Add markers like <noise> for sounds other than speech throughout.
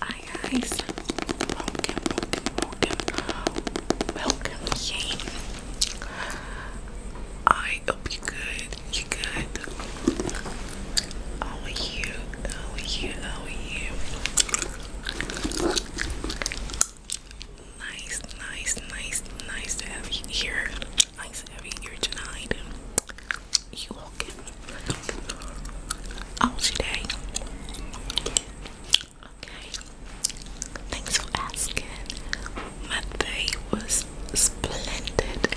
Hi guys, welcome, welcome, welcome, I hope you're good, you're good. How oh, are you, how oh, are you, how oh, are you? Nice, nice, nice, nice to have you here. Nice to have you here tonight you walking all today. Okay. Thanks for asking. My day was splendid.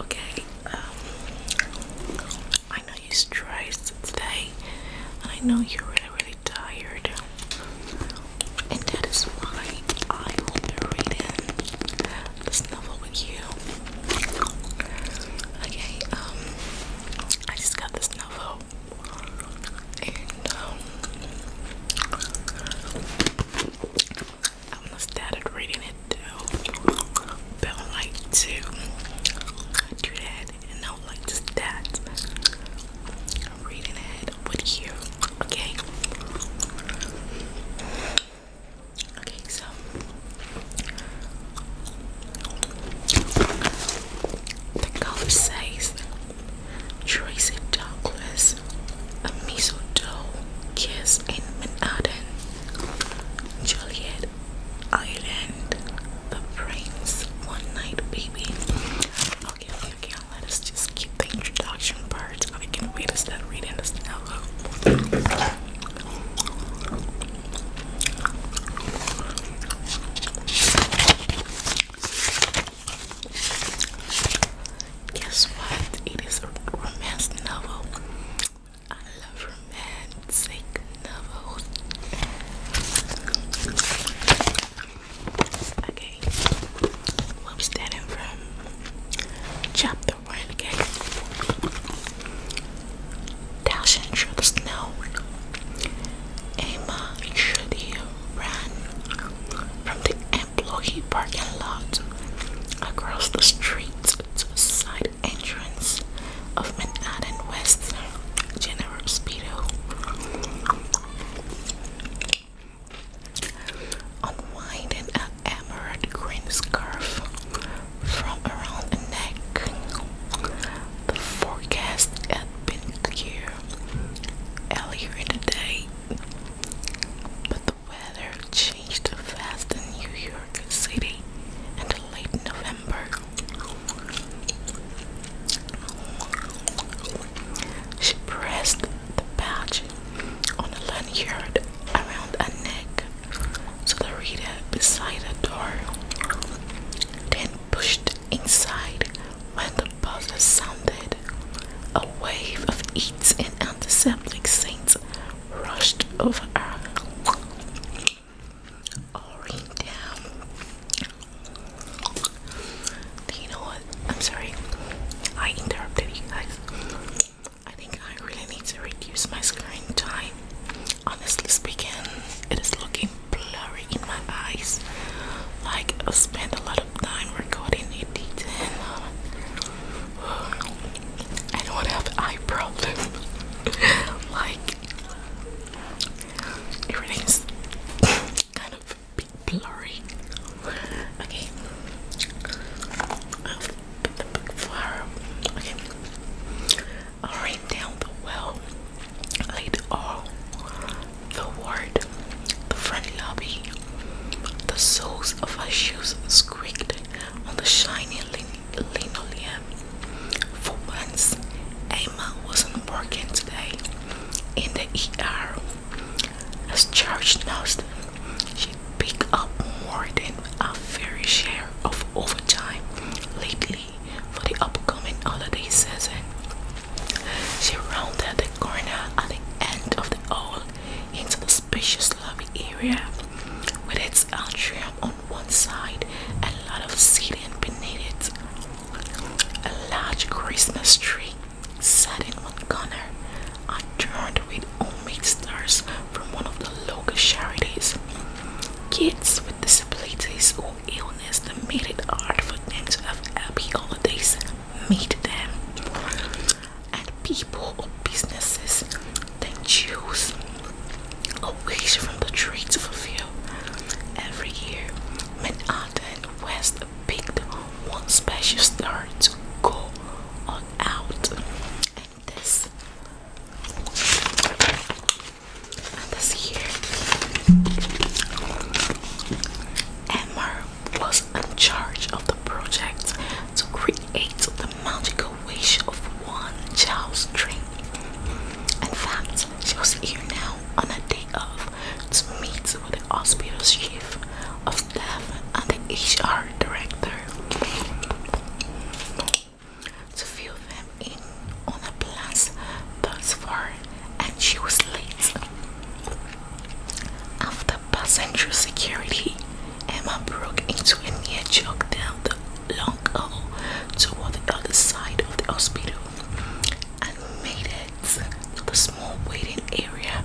Okay. Um, I know you're stressed today. I know you're really, really tired. And that is why I will be reading this novel with you. Okay, um, I just got this novel, and um, I almost started reading it too, but I like to do that, and I would like to start reading it with you. Okay. Okay, so the cover says Tracy Douglas, a mistletoe kiss in Manhattan, Juliet Island, the Prince, one night baby. okay, okay. Let us just keep the introduction part cards. I can't wait to start reading this now. Guess what? It is a romance novel. I love romantic novels. Okay, we'll starting from chapter the rain again. through the snow. Emma Judy ran from the employee parking lot across the street to the side entrance of Manhattan West General Speedo unwinding an emerald green scarf from around the neck. The forecast had been clear earlier in the day, but the weather changed fast in New York City in late November. She pressed the patch on a lanyard around a neck the reader beside a door, then pushed inside when the buzzer sounded. A wave of eats and antiseptic saints rushed over her. Already Do you know what? I'm sorry. I interrupted you guys. I think I really need to reduce my screen time. Honestly speaking, it is looking blurry in my eyes. Like I spend a lot of time recording editing. <sighs> I don't have eye problems. <laughs> like everything's <laughs> kind of blurry. Okay. I'll down the well. Laid all the ward, the front lobby, the soles of her shoes squeaked on the shiny linoleum. For once, Emma wasn't working today in the ER. As George noticed she picked up more than a fair share of overtime lately for the upcoming holiday season. She rounded the corner at the end of the hall into the spacious lobby area with its atrium on one side and a lot of seating beneath it. A large Christmas tree sat in one corner are turned with homemade stars from one of the local charities. Kids with disabilities or illness that made it hard for them to have happy holidays meet them. And people or businesses then choose away from the tree to fulfill. Every year, Manhattan and West picked one special star to go on out this. this here. Emmer was in charge of the project to create the magical wish of one child's dream. In fact, she was here now on a day off to meet with the hospital chief of staff and the HR director to fill them in on the plans thus far, and she was late. After passing through security, Emma broke into a near jog down the long hall toward the other side of the hospital and made it to the small waiting area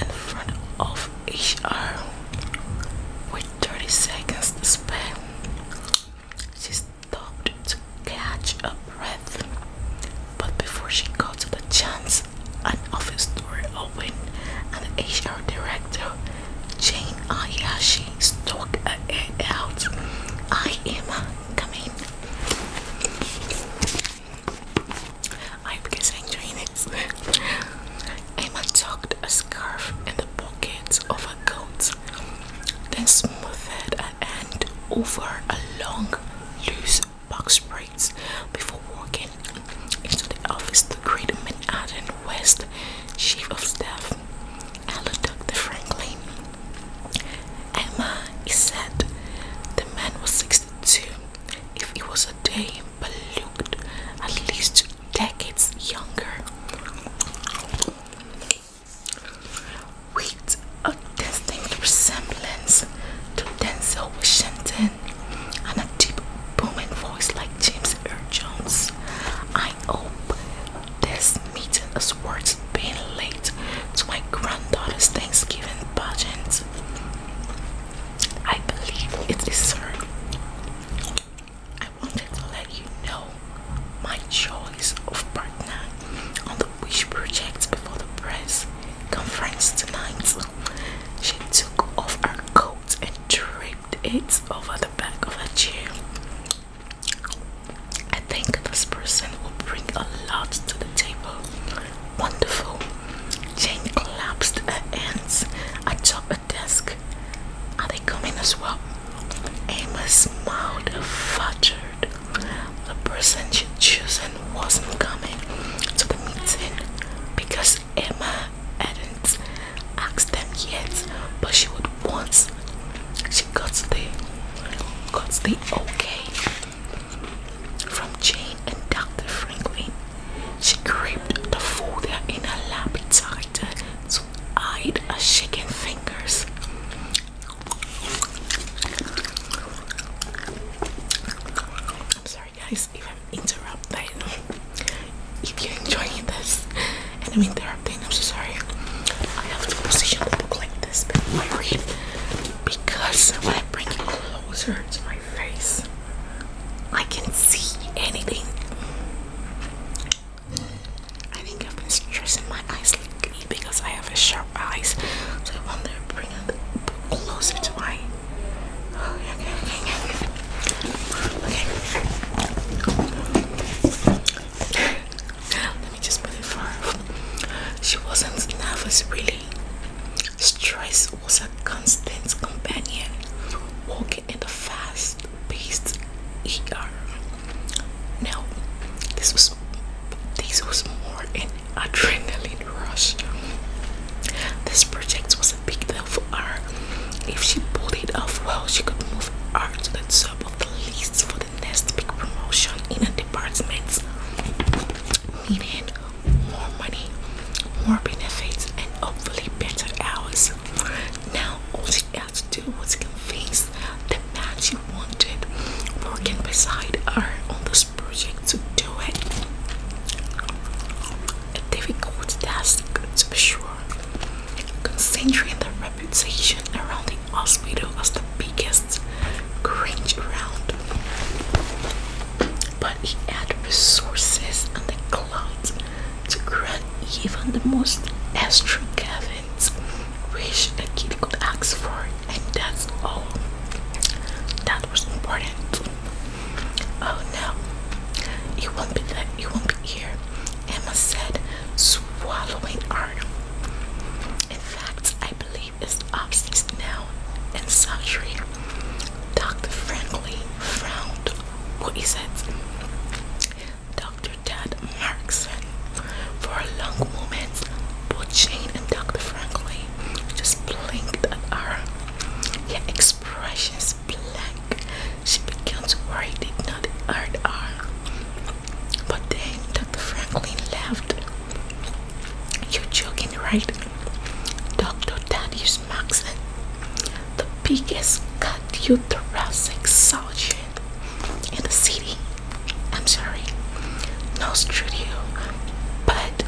in front of HR with 30 seconds to spare. She stopped to catch a breath, but before she got to the chance, an office door opened and the HR director, Jane Ayashi, stuck her head out. I am coming. I am you guys Emma tucked a scarf in the pockets of her coat, then smoothed it hand over a long, loose box braids before walking into the office to greet Manhattan West Chief of Staff, Hello, Franklin. Emma, he said, the man was 62. If it was a day, but looked at least decades younger. With a distinct resemblance to Denzel Washington and a deep booming voice like James Earl Jones. I hope this meeting is worth being late to my granddaughter's Thanksgiving budget. I believe it is her. I wanted to let you know my choice of partner on the Wish project before the press conference tonight. She took off her coat and draped it over the back of her chair. I think this person will bring a lot to the table. Wonderful. Jane collapsed her hands atop desk. Are they coming as well? Amos smiled fudgered. The person she'd chosen wasn't coming to the meeting because Emma hadn't asked them yet, but she would once she got the got the okay from Jane and Dr. Franklin she gripped the food in her lap tighter, to hide her shaking fingers. sorry, guys, if I'm interrupting. If you're this and i I'm so sorry. I have to position the book like this before I read because I bring it closer face. I can see anything. I think I've been stressing my eyes like because I have a sharp eyes. So I want to bring it closer to my oh, okay, okay, okay. okay. Let me just put it far. She wasn't nervous really. Stress was a constant companion, walking in the fast paced ER. Now, this was this was more an adrenaline rush. This project was a big deal for her. If she pulled it off well, she could move up to the top of the list for the next big promotion in a department, Needed more money, more benefits, and hopefully better hours. Now, all she had to do was convince the man she wanted working beside her on this project to do it. A difficult task to be sure, considering the reputation around the hospital as the biggest cringe around. But he had resources and the clout to grant even the most extravagant wish a kid could ask for, and that's all that was important. Oh no, you won't be that, it won't be here, Emma said, swallowing hard. In fact, I believe it's upstairs now in surgery. Dr. Franklin frowned what is it? Dr. Tad Markson. For a long moment, both Jane and Dr. Franklin just blinked at her. Her expressions blank. She began to worry did not hurt her. But then Dr. Franklin laughed. You're joking, right? Dr. Thaddeus Maxon, the biggest cardiothoracic surgeon in the city. I'm sorry, no studio, but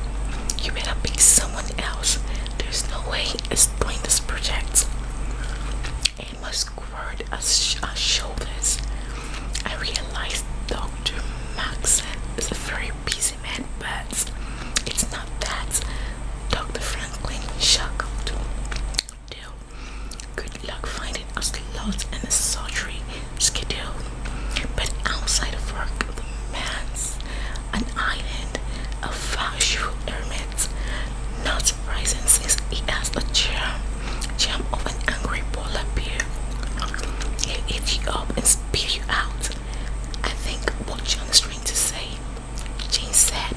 you better pick someone else. There's no way it's doing this project. It must squirt as our shoulders. I realized Dr. Max is a very busy man, but it's not that. Dr. Frank Good luck finding a slot in the sultry schedule. But outside of work, the man's an island of factual hermits. Not surprising since he has a charm, charm of an angry polar bear. He'll eat you up and spit you out. I think what on the screen to say she said,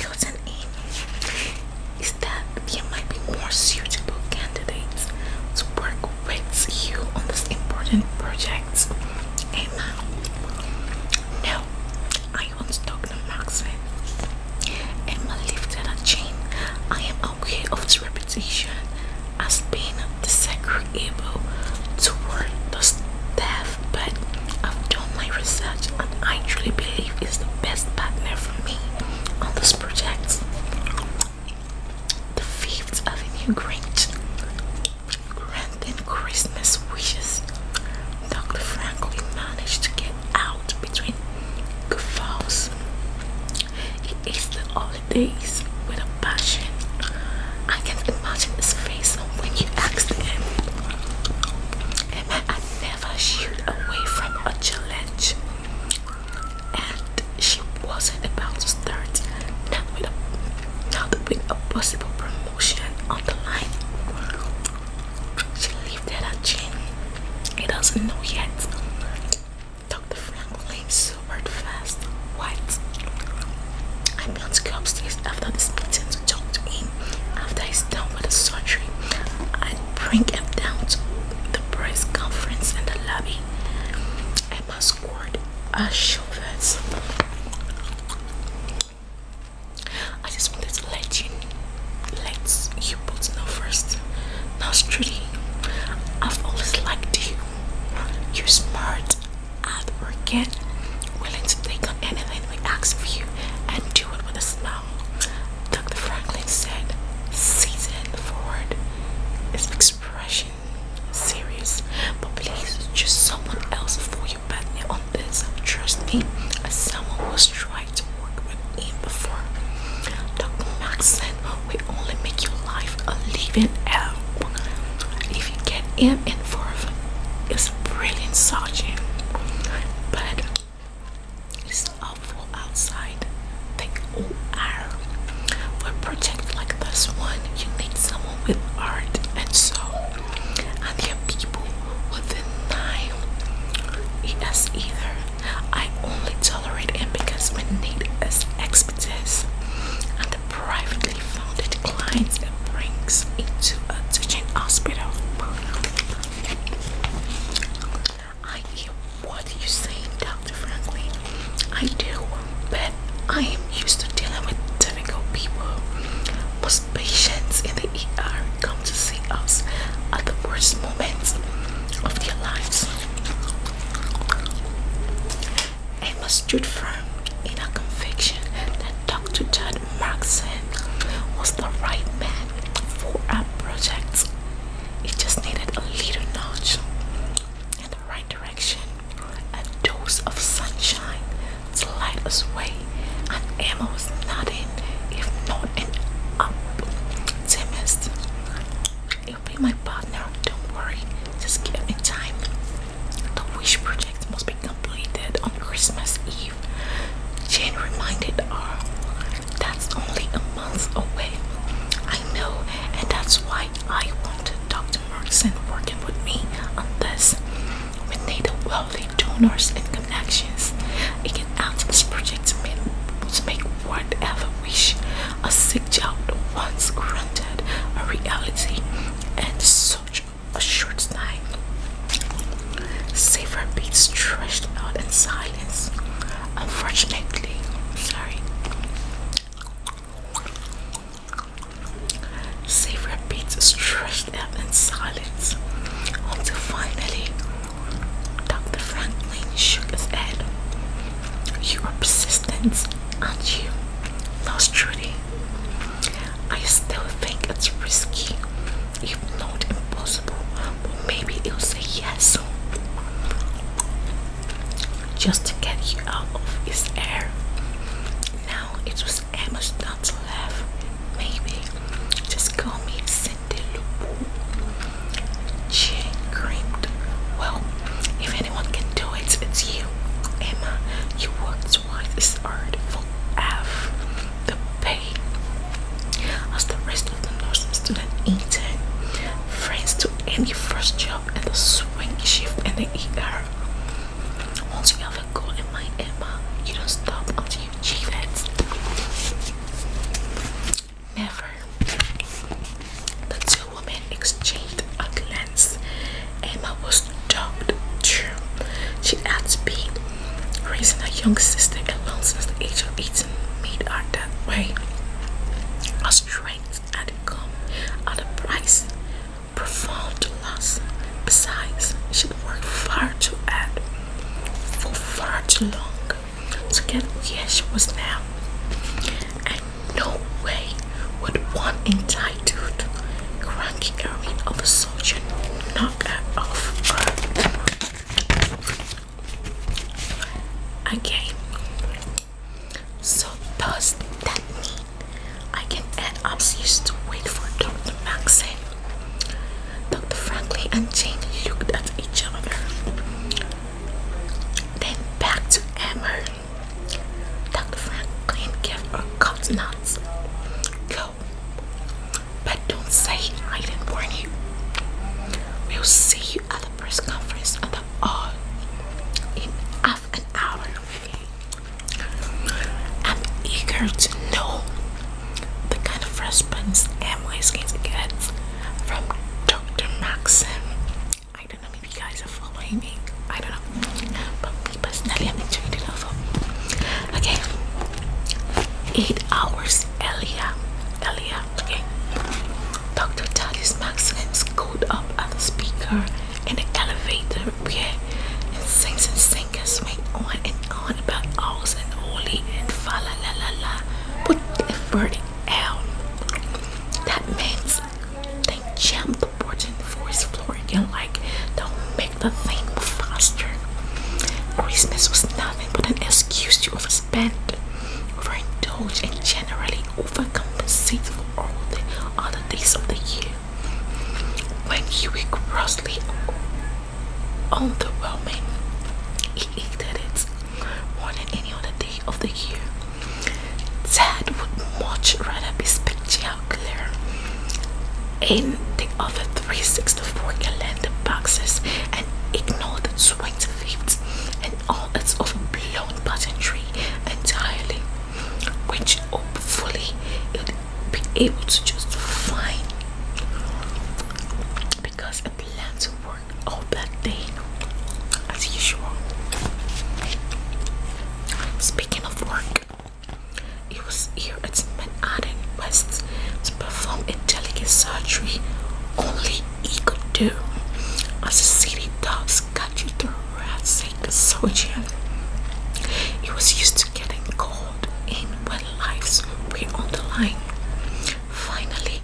Cousin Amy is that there might be more suitable candidates to work with you on this important project. Emma, no, I won't talk to Maxine and my lifted and chain. I am aware of its reputation as being disagreeable toward the staff, but I've done my research and I truly believe it's the best partner for me on this project. The Fifth Avenue Grange granting Christmas wishes. Dr. Franklin managed to get out between guffaws it is the holidays with a passion. I can imagine his face when you asked him. Emma I never shied away from a challenge. And she wasn't about to start now with a a possible promotion on the line. She left that a gym. He doesn't know yet. Dr. Franklin super fast. What? I plan to go upstairs after this meeting to talk to him after he's done with the surgery. I'd bring him down to the press conference in the lobby. I Emma squared her shoulders. I just wanted to let you Let's, you both know first. Now, Trudy, I've always liked you. You're smart, hardworking, willing to take on anything we ask of you, and do it with a smile. Dr. Franklin said, season forward is expression serious, but please choose someone else for your partner on this. Trust me, someone was trying to work with him before. Dr. Max we only make your life a living hell. If you get him in for it's brilliant sergeant. But it's awful outside. They all are. For a like this one, you need someone with art and so I there people with the nine. Yes, either. I only tolerate him because we need his expertise and the privately funded clients it brings into a teaching hospital. I hear what you're saying, Dr. Franklin. I do, but I am used to dealing with difficult people. Most patients in the ER come to see us at the worst moments of their lives. Emma stood firm in her conviction that Dr. John Markson was the right man for our project. It just needed a little nudge in the right direction, a dose of sunshine to light us way, and Emma was not in, if not an optimist you will be my partner. Don't worry. Just give me time. The wish project must be completed on Christmas Eve. Jane reminded her, "That's only a month away. I know, and that's why I wanted Dr. Merckson working with me on this. We need wealthy donors and connections. It can add to this project to make, to Ever wish a sick child once grunted a reality and such a short time. Safer beats trashed out in silence. Unfortunately, sorry. Safer beats trashed out in silence until finally Dr. Franklin shook his head. Your persistence, aren't you? Lost Trudy. I still think it's risky, if not impossible, but maybe it'll say yes. Just to get you out of his air. Now it was Emma's not to laugh. Maybe just call me Chin creamed. Well, if anyone can do it, it's you. Emma, you worked twice as hard for half the pay as the rest of the nursing student intern. Friends to any first job and the swing shift and the ER. Once you have a goal in mind, Emma, you don't stop until you achieve it. Never. The two women exchanged a glance. Emma was shocked. too. She had been raising her young sister alone since the age of 18 made her that way. Her strength had at a price profound to loss. Besides, she'd worked far too hard for far too long. Together she was now. And no way would one entitled cranky erring of a soldier knock her off her. Again. So does that mean I can add upstairs to wait for Dr. Maxine? Dr. Franklin and Jane looked at each other. Then back to Amber. Dr. Franklin gave her cut nuts. Go. But don't say I didn't warn you. We'll see you at the press conference on the all in half an hour. I'm eager to know the kind of response Amway's going to get from Dr. Maxim. I don't know, maybe you guys are following me. I don't know. But me personally, I'm enjoying the novel. Okay. Eight hours earlier. Earlier. Okay. Dr. Thaddeus Maxim scooped up at the speaker in the elevator where and sings and singers went on and on about ours and holy and fa la la la la. Put the verdict L. That means they jump towards the floor again, like don't make the thing move faster. Christmas was nothing but an excuse to overspend, overindulge, and generally overcompensate for all the other days of the year. When you were grossly overwhelming, it did it more than any other day of the year. Dad would much rather be spectacular in the other 364 calendar boxes and ignore the 25th and all its off-blown pageantry entirely, which hopefully it would be able to just find because I plan to work for all that day as usual. Speaking of work, it was here at Manhattan West to perform a delicate surgery only he could do as a city dogs got you through a soldier. He was used to getting called in when lives were on the line. Finally,